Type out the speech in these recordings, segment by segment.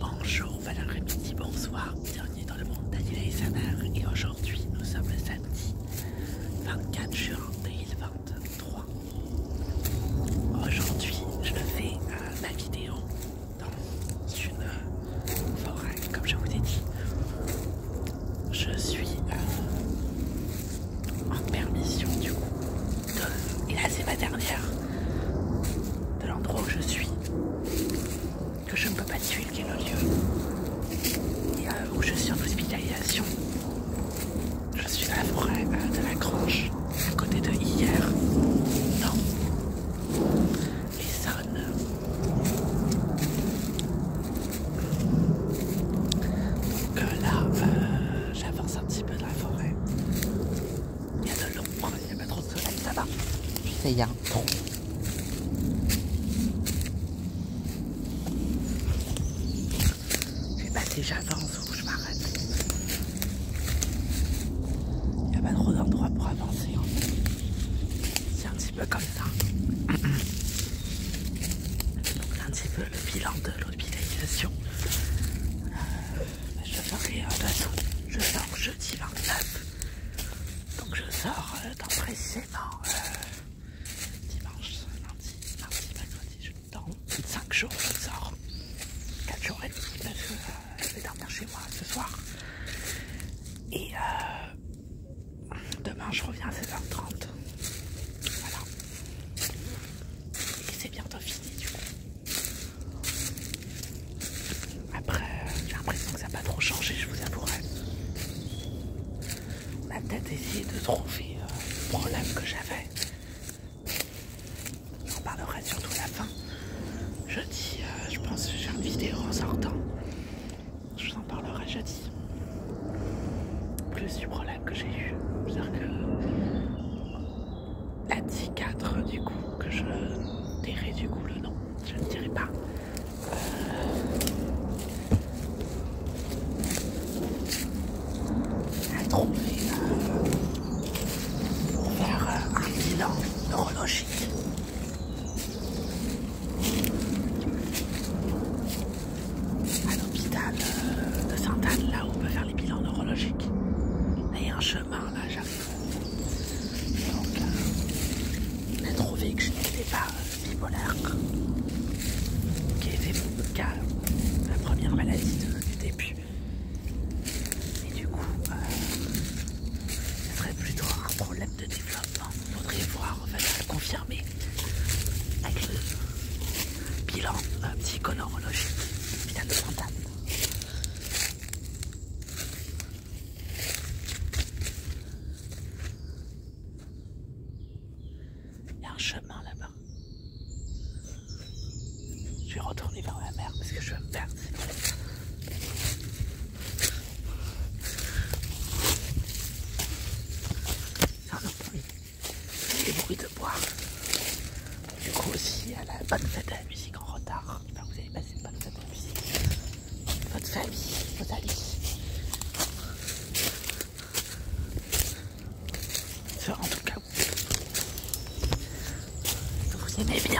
Bonjour, bon midi bonsoir, bienvenue dans le monde et Samar et aujourd'hui nous sommes le samedi 24 juin 2023. Aujourd'hui je fais euh, ma vidéo dans une euh, forêt comme je vous ai dit. Je suis euh, en permission du coup et là c'est ma dernière, de l'endroit où je suis, que je ne peux pas tuer, qui est le lieu, euh, où je suis en hospitalisation. Je suis dans la forêt euh, de la Grange, à côté de hier. Non. les Donc euh, là, j'avance un petit peu dans la forêt. Il y a de l'ombre, il n'y a pas trop de soleil là-bas. sais, il y a un ton. Je vais pas j'avance ou je m'arrête. Il n'y a pas trop d'endroits pour avancer. Hein. C'est un petit peu comme ça. Donc, un petit peu le bilan de l'hospitalisation. Euh, euh, bah, je sors jeudi 29. Donc je sors euh, dans précisément euh, dimanche, lundi, mardi, mercredi, je dans 5 jours je sors. 4 jours et parce que je vais dormir chez moi ce soir. Et demain je reviens à 16 h 30 Voilà. Et c'est bientôt fini du coup. Après, euh, j'ai l'impression que ça n'a pas trop changé, je vous avouerai. On a peut-être essayé de trouver euh, le problème que j'avais. J'en parlerai surtout à la fin. Jeudi, euh, je pense que j'ai une vidéo en sortant. Je vous en parlerai jeudi. Plus du problème que j'ai eu la 4 du coup, que je dirai du coup le nom, je ne dirai pas. Euh... a trouvé euh, pour faire euh, un bilan neurologique l'hôpital euh, de Sainte-Anne, là où on peut faire les bilans neurologiques. il y a un chemin, là, Donc, j'ai euh, trouvé que je n'étais pas euh, bipolaire, qui était mon cas, la première maladie du début. Et du coup, ce serait plutôt un problème de développement. Faudrait voir, en le confirmer avec le bilan psychoneurologique. Il a de Il y a un chemin là-bas. Je vais retourner vers la mer parce que je vais me faire les bruits de bois. Du coup aussi à la bonne fête de la musique en retard. Enfin, vous allez passer une bonne fête de la musique. Votre famille, vos amis. en tout cas, vous, vous aimez bien.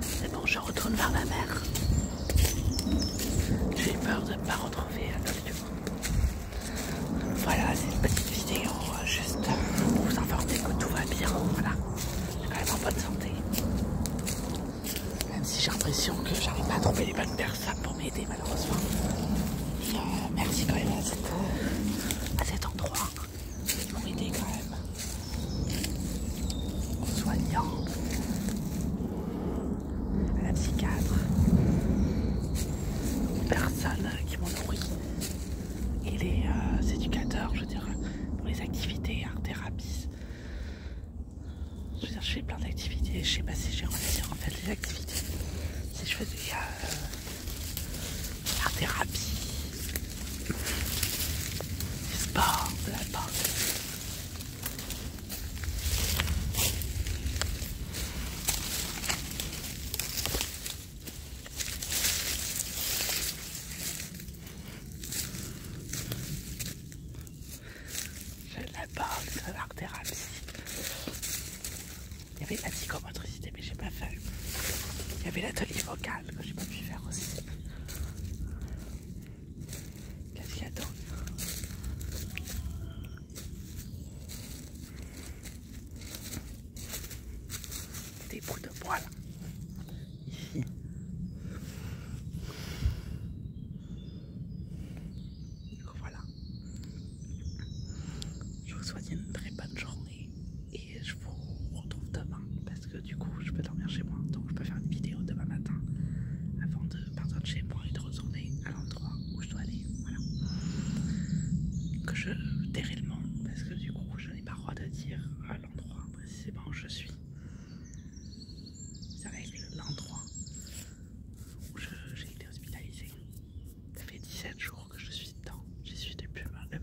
C'est bon, je retourne vers la mer. J'ai peur de ne pas retrouver monde Voilà, c'est une petite vidéo euh, juste pour vous informer que tout va bien. Voilà, je suis quand même en bonne santé. Même si j'ai l'impression que j'arrive pas à trouver les bonnes personnes pour m'aider malheureusement. Euh, merci quand même à à cet endroit m'ont aidé quand même en soignant à la psychiatre aux personnes qui m'ont nourri et les euh, éducateurs je veux dire pour les activités art thérapie je veux dire plein d'activités je sais pas si j'ai de en fait les activités si je faisais euh, la thérapie, le de la porte. Je la parle de l'art thérapie. Il y avait la psychomotricité, mais j'ai pas fait. Il y avait l'atelier vocal que j'ai pas pu faire aussi. Qu'est-ce qu'il y a d'autre Des bouts de bois, Ici. Voilà. Je vous souhaite une très bonne journée et je vous retrouve demain parce que du coup je peux dormir chez moi donc je peux faire une vidéo demain matin avant de partir de chez moi et de retourner à l'endroit où je dois aller. Voilà. Que je monde parce que du coup je n'ai pas le droit de dire à euh, l'endroit précisément où je suis. C'est être l'endroit où j'ai été hospitalisée. Ça fait 17 jours que je suis dedans. J'y suis depuis le mardi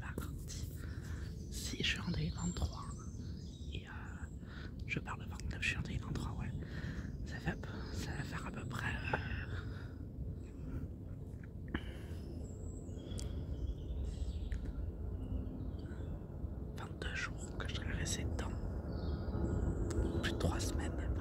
6 je 2023. Et euh, je parle le 29 en 2023, ouais. Ça, fait, ça va faire à peu près. 22 euh, jours que je resté dedans, plus de 3 semaines. 22,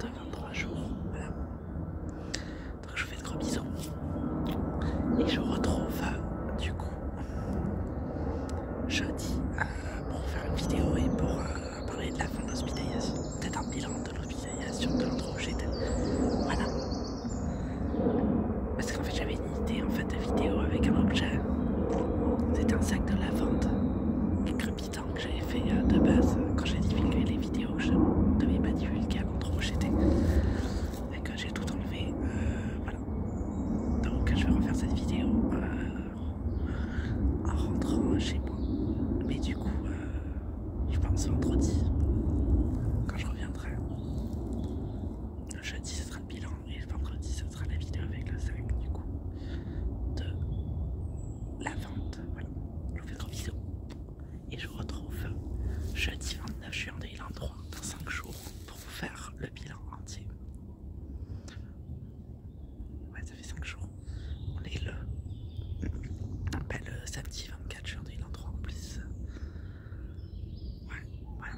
23 jours, voilà. Donc je vous fais de gros bisous et je retrouve euh, du coup jeudi euh, pour faire une vidéo et pour euh, parler de la fin de l'hospitalisation, peut-être un bilan de ton de j'étais Voilà. Parce qu'en fait j'avais une idée en fait de vidéo avec un objet. c'était un sac de lavande crépitant que j'avais fait euh, de base quand j'ai divulgué les vidéos je devais pas divulguer l'endroit trop j'étais. Et que j'ai tout enlevé. Euh, voilà. Donc je vais refaire cette vidéo euh, en rentrant chez moi. Mais du coup je pense vendredi, quand je reviendrai. Le jeudi, ce sera le bilan et le vendredi, ce sera la vidéo avec le 5 du coup de la vente. je vous fais gros bisous et je vous retrouve jeudi 29 juin 2023 dans 5 jours pour vous faire le bilan entier. Ouais, ça fait 5 jours. On est le, on appelle le euh, samedi 24 3 en plus. Ouais, voilà.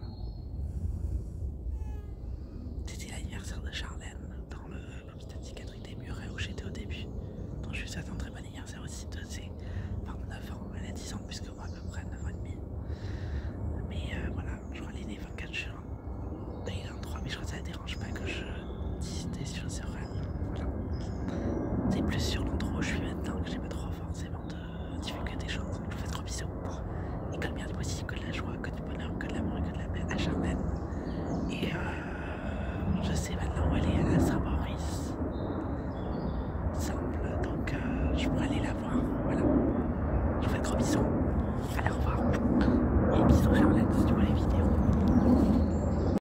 C'était l'anniversaire de Charlène dans l'hôpital psychiatrique des Murets où j'étais au début. Donc je suis souhaite un très bon anniversaire aussi de ses 29 ans. Elle a 10 ans plus que moi à peu près, 9 ans et demi. Mais euh, voilà, je crois qu'elle 24 h Il est 3, mais je crois que ça ne dérange pas que je dise des choses sur c'est plus sur l'endroit où je suis maintenant que j'ai pas trop forcément de des choses. Je vous fais trop bisous. Et comme bien moi aussi, que de la joie, que du bonheur, que de l'amour et que de la paix à Charmaine. Et euh, je sais maintenant où aller à Saint-Maurice. Simple, donc euh, je pourrais aller la voir. Voilà. Je vous fais trop bisous. Allez, au revoir. Et bisous, Charlotte, si tu vois les vidéos.